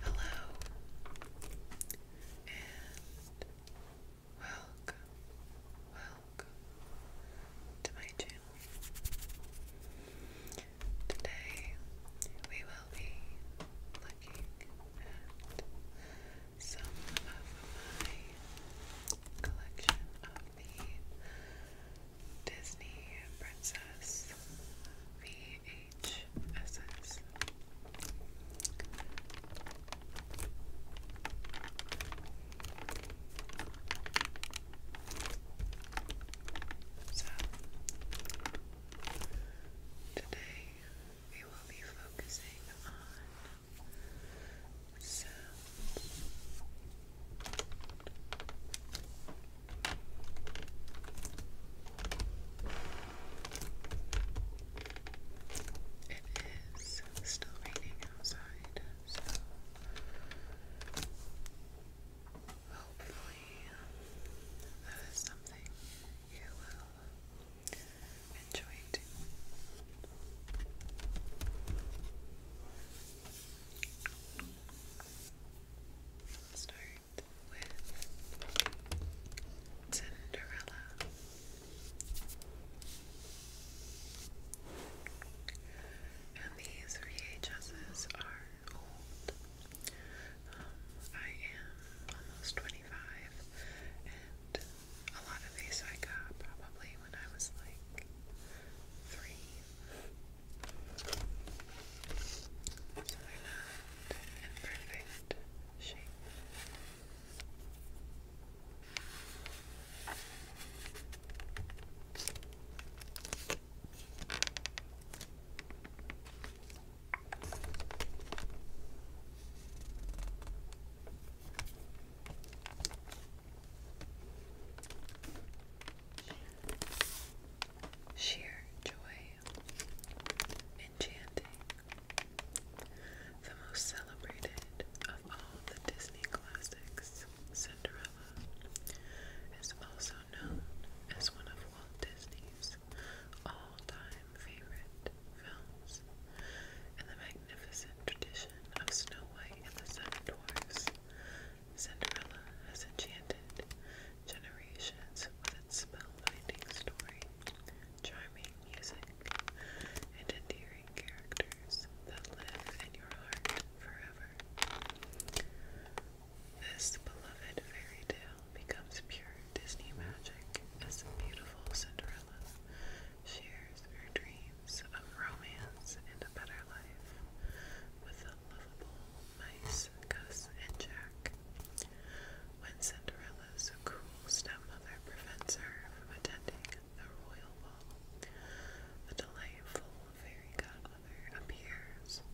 Hello and welcome, welcome to my channel. Today we will be looking at some of my collection of the Disney Princess VHSs. So, today we will be focusing on sounds. It is still raining outside, so hopefully that uh, is something you will enjoy too. Start with Cinderella. And these VHSs are old. Um, I am almost 25, and a lot of these I got probably play when I was like three. So they're not in perfect Sheer joy, enchanting, the most celebrated of all the Disney classics. Cinderella is also known as one of Walt Disney's all-time favorite films, and the magnificent tradition of Snow White and the Seven Dwarfs. Cinderella has enchanted generations with its spellbinding story, charming music, and endearing characters that live in your heart forever. This beloved fairy tale becomes pure Disney magic as the beautiful Cinderella shares her dreams of romance and a better life with the lovable mice Gus and Jack. When Cinderella's cruel stepmother prevents her from attending the royal ball, the delightful fairy godmother appears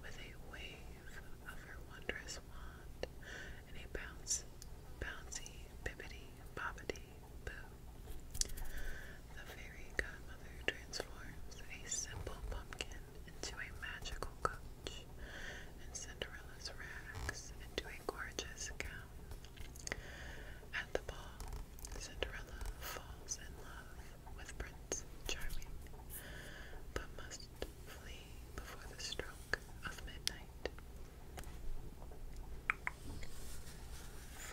with a wave of her wondrous wand and a bounce, bouncy, bibbity, bobbity Boo. The fairy godmother transforms a simple pumpkin into a magical coach, and Cinderella's rags into a gorgeous gown. At the ball, Cinderella falls in love with Prince Charming, but must flee before the stroke of midnight.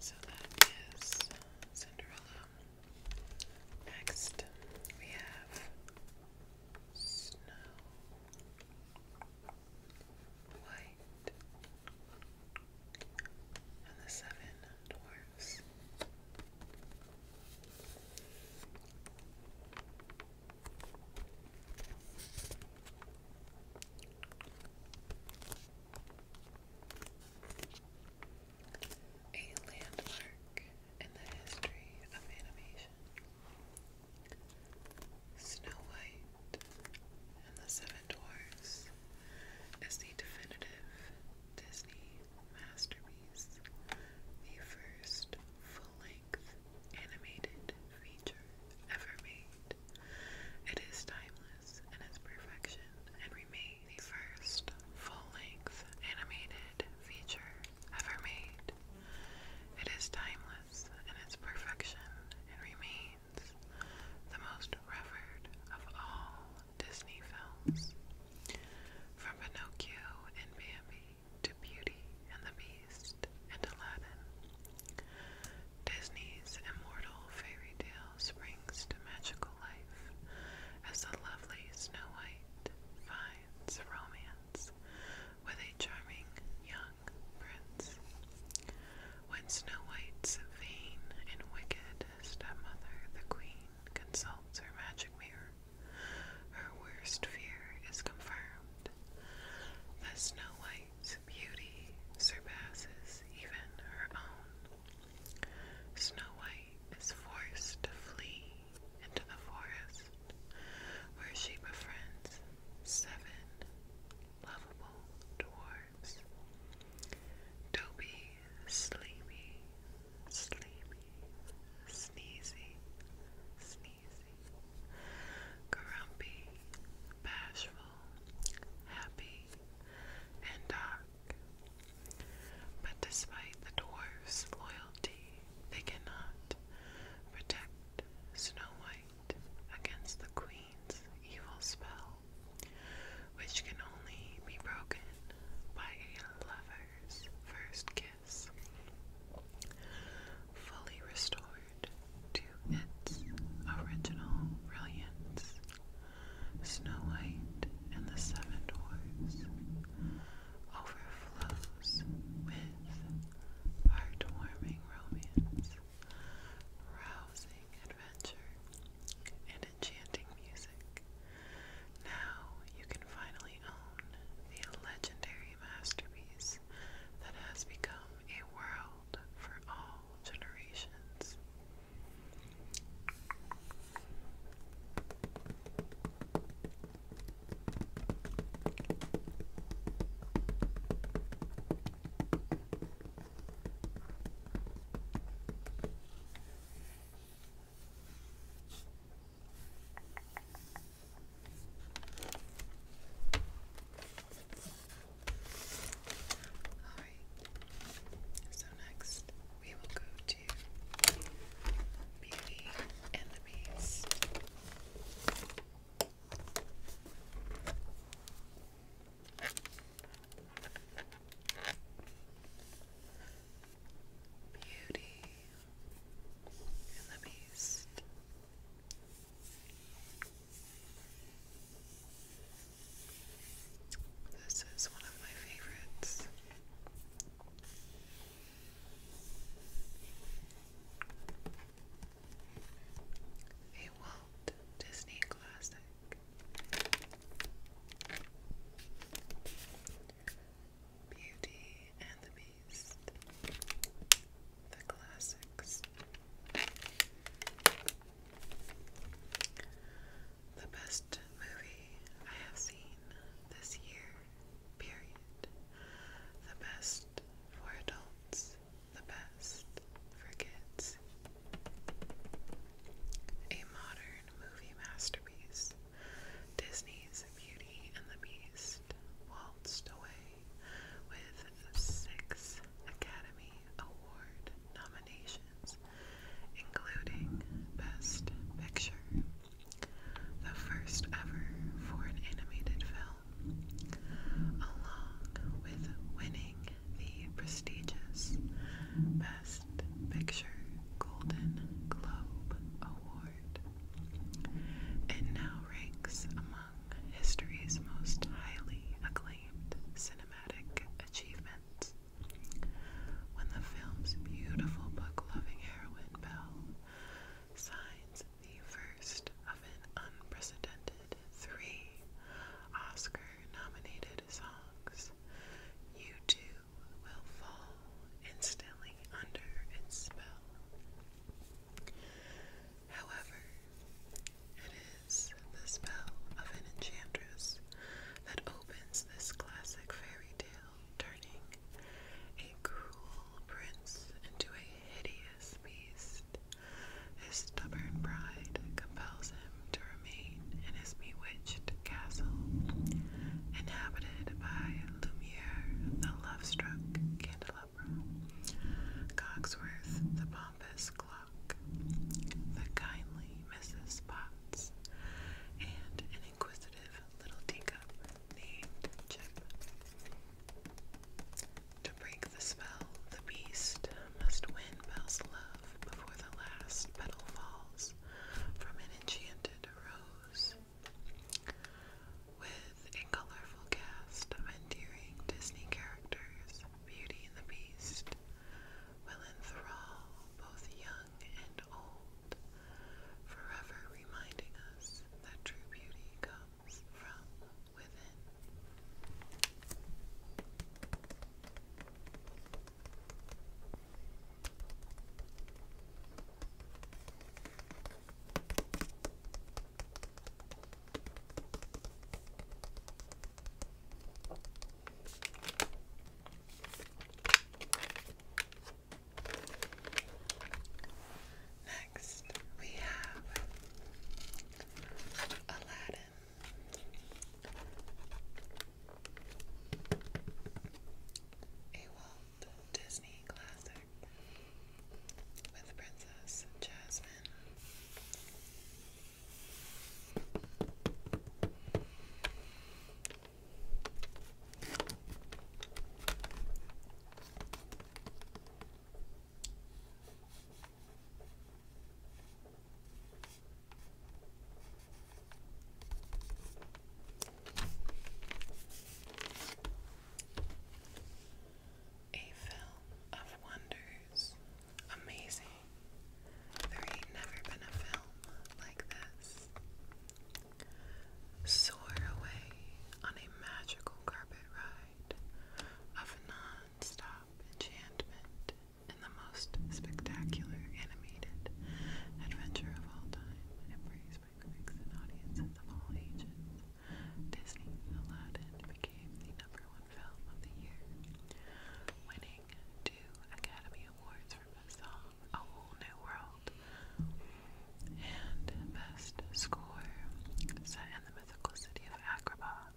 So that is Cinderella. Next, we have Snow White and the Seven Dwarfs. A landmark in the history of animation. Snow White and the Seven Dwarfs is the definitive Disney masterpiece, the first full length sixth animated feature ever made. It is timeless in its perfection and remains the first full-length animated feature ever made. It is timeless in its perfection and remains the most revered of all Disney films. From Pinocchio and Bambi to Beauty and the Beast and Aladdin. Disney's immortal fairy tale springs to magical life as the lovely Snow White finds romance with a charming young prince. When Snow White's vain and wicked stepmother, the Queen, consults her magic mirror, her worst fear is confirmed that Snow White's beauty surpasses even her own. Snow White is forced to flee into the forest, where she befriends seven lovable dwarfs. Dopey, sleepy, sleepy, sneezy, sneezy grumpy, bashful, happy, and dark. But despite the dwarf's loyalty, they cannot protect Snow White against the Queen's evil spell, which can only be broken by a lover's first kiss. Fully restored to its original brilliance. Snow White and the Seven Dwarfs overflows with heartwarming romance, rousing adventure, and enchanting music. Now you can finally own the legendary masterpiece that has become a world for all generations. Alright, so next we will go to Beauty and the Beast. Beauty and the Beast. This is one of my favorites. A Walt Disney classic. Beauty and the Beast. The classics. The best movie I have seen this year, period. The best for adults, the best for kids. A modern movie masterpiece. Disney's Beauty and the Beast waltzed away with six Academy Award nominations, including Best Picture, the first ever for an animated film, along with winning the prestigious Best Picture Golden Globe Award. It now ranks among history's most highly acclaimed cinematic achievement, When the film's beautiful book-loving heroine, Belle, signs the first of an unprecedented three Oscar-nominated songs, you too will fall instantly under its spell. However, it is the spell of an enchantress that opens this classic fairy tale, turning a cruel prince into a hideous beast. His stubborn bride compels him to remain in his bewitched castle, inhabited by Lumiere, the love-struck candlelight. Cogsworth, the pompous clock, the kindly Mrs. Potts, and an inquisitive little teacup named Chip. To break the spell, the beast must win Belle's love before the last petal falls from an enchanted rose. With a colorful cast of endearing Disney characters, Beauty and the Beast will enthrall both young and old, forever reminding us that true beauty comes from within. Next, we have Aladdin old Disney classic with Princess Jasmine. A film of wonders. Amazing. There ain't never been a film like this. Soar away on a magical carpet ride of non enchantment in the most spectacular animated adventure of all time. Bushwick mix audiences of all ages. Disney's Aladdin became the number one film of the year, winning two Academy Awards for Best Song, A Whole New World, and Best Score. Set in the mythical city of Agrabah,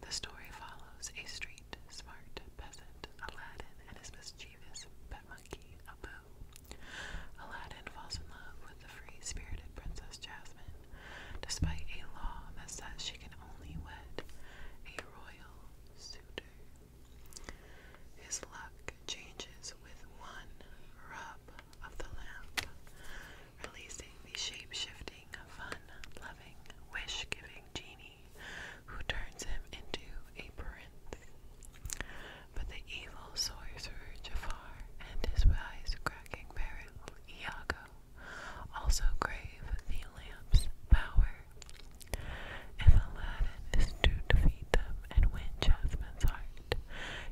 the story follows a street smart peasant, Aladdin, and his mischievous pet monkey, Abu. Aladdin falls in love with the free spirited Princess Jasmine, despite a law that says she can only wed a royal suitor. His luck changes with one rub of the lamp, releasing the shape shifting, fun loving, wish giving genie who turns him into a prince. But the evil sorcerer Jafar and his wise-cracking parent Iago also crave the lamp's power. If Aladdin is to defeat them and win Jasmine's heart,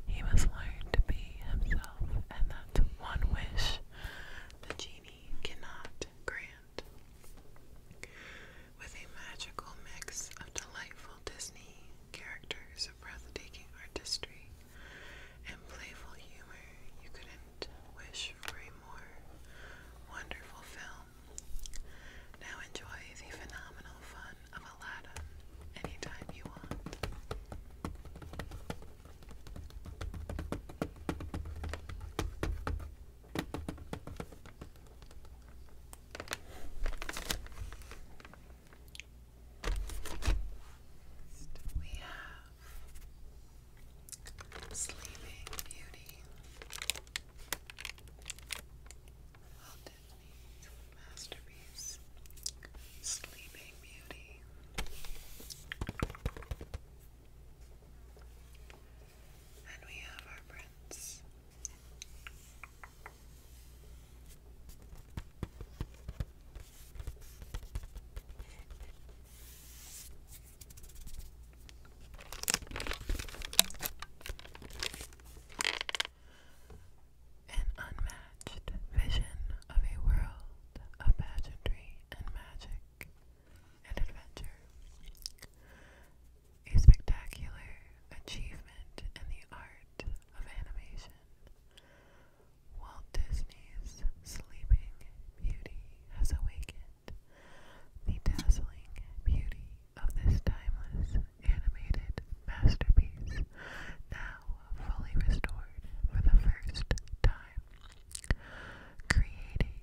he must learn to be himself, and that's one wish the genie cannot grant. With a magical mix of delightful Disney characters and breathtaking artistry, and playful humor, you couldn't wish for a more wonderful film. Now enjoy the phenomenal fun of Aladdin anytime you want we have Sleeping Beauty. Walt Disney's masterpiece, Sleeping Beauty. And we have our prince. An unmatched vision of a world of pageantry and magic and adventure. A spectacular achievement in the art of animation. Walt Disney's Sleeping Beauty has awakened the dazzling beauty of this timeless animated masterpiece, now fully restored for the first time. created,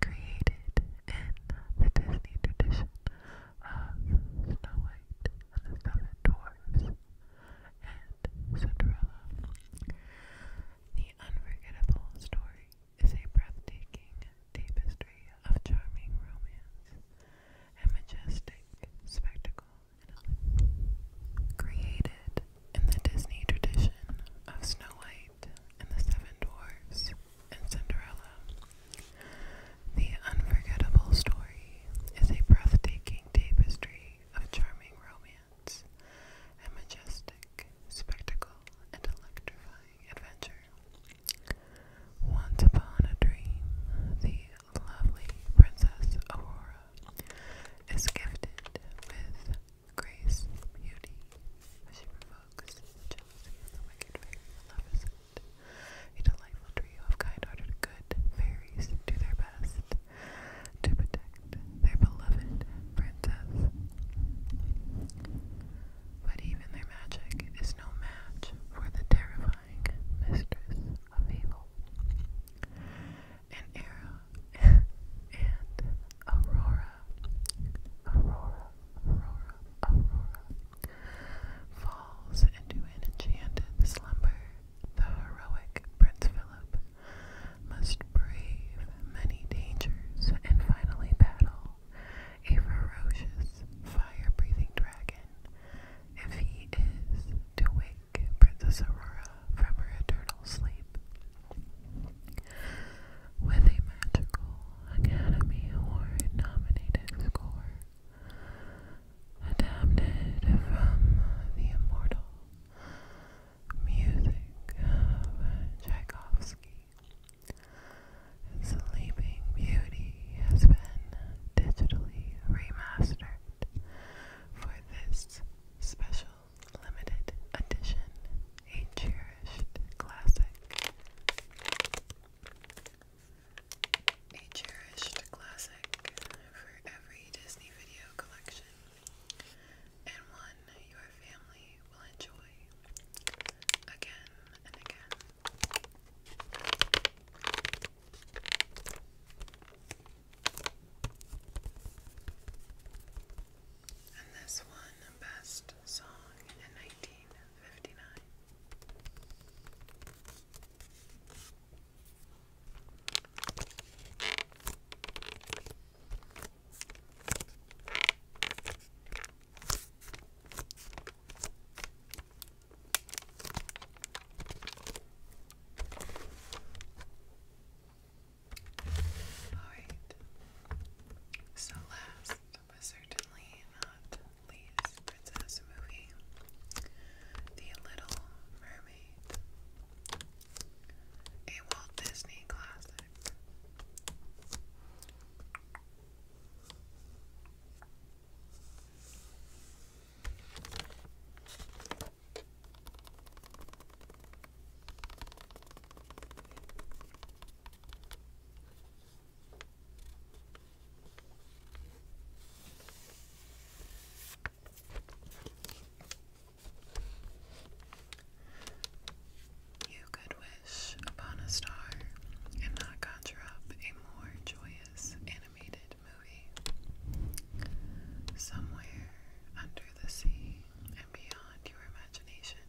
created in the Disney tradition of Snow White and the Seven Dwarfs and Cinderella. The unforgettable story is a breathtaking tapestry of charming romance and majestic spectacle created in the Disney tradition of Snow White and the Seven Dwarfs and Cinderella. The Unforgettable Story is a breathtaking tapestry of charming romance, a majestic spectacle, and electrifying adventure. Once upon a dream, the lovely Princess Aurora is gifted with grace, beauty, which provokes jealousy of the wicked fairy Maleficent a delightful trio of kind-hearted good fairies do their best to protect their beloved princess. But even their magic is no match for the terrifying mistress of evil. An era and Aurora, Aurora, Aurora, Aurora falls into an enchanted slumber the heroic Prince Philip must brave many dangers and finally battle a ferocious, fire breathing dragon if he is to wake Princess Aurora from her eternal sleep. With a Magical Academy Award nominated score adapted from the immortal music of Tchaikovsky. Sleeping Beauty has been digitally remastered for this special limited edition, a cherished classic a cherished classic for every Disney video collection, and one your family will enjoy again and again. And this one, the best song in 1959. Alright. So last but certainly not Lee's princess movie, The Little Mermaid, a Walt Disney classic. You could wish upon a star and not conjure up a more joyous animated movie. Somewhere under the sea and beyond your imagination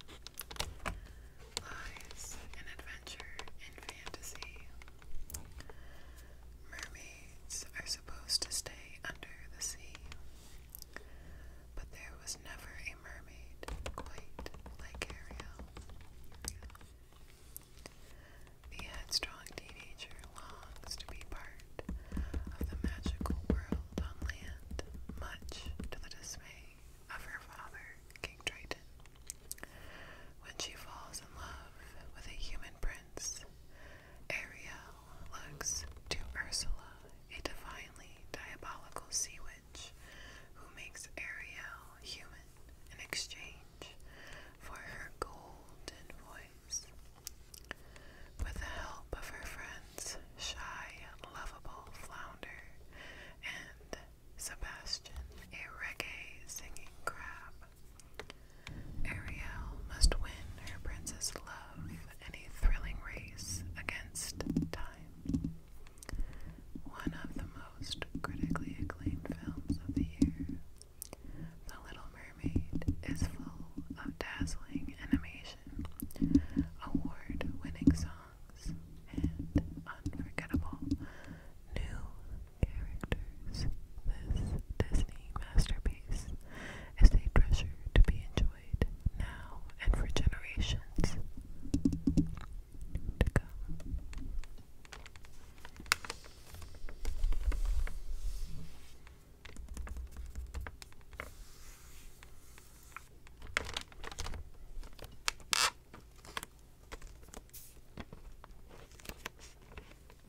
lies an adventure in fantasy Mermaids are supposed to stay under the sea, but there was never a mermaid quite like Ariel. The headstrong teenager longs to be part of the magical world on land, much to the dismay of her father, King Triton. When she falls in love with a human prince, Ariel looks to Ursula, a divinely diabolical sea witch, who makes Ariel human in exchange for her golden voice. With the help of her friends, shy, and lovable Flounder and Sebastian, a reggae singing crab, Ariel must win her prince's love in a thrilling race against time. One of the most critically acclaimed films of the year, The Little Mermaid is full of dazzling animation, award winning songs, and unforgettable new characters. This Disney masterpiece is a treasure to be enjoyed now and for generations to come.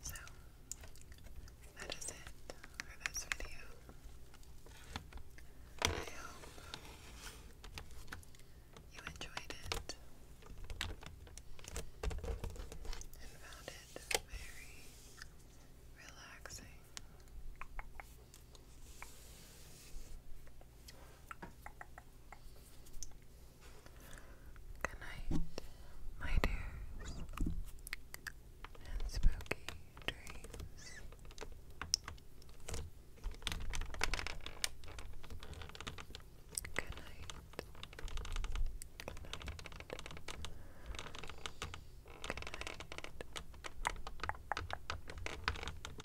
So, that is it for this video. I hope you enjoyed it and found it very relaxing. Good night, my dears, and spooky dreams. Good night. Good night. Good night.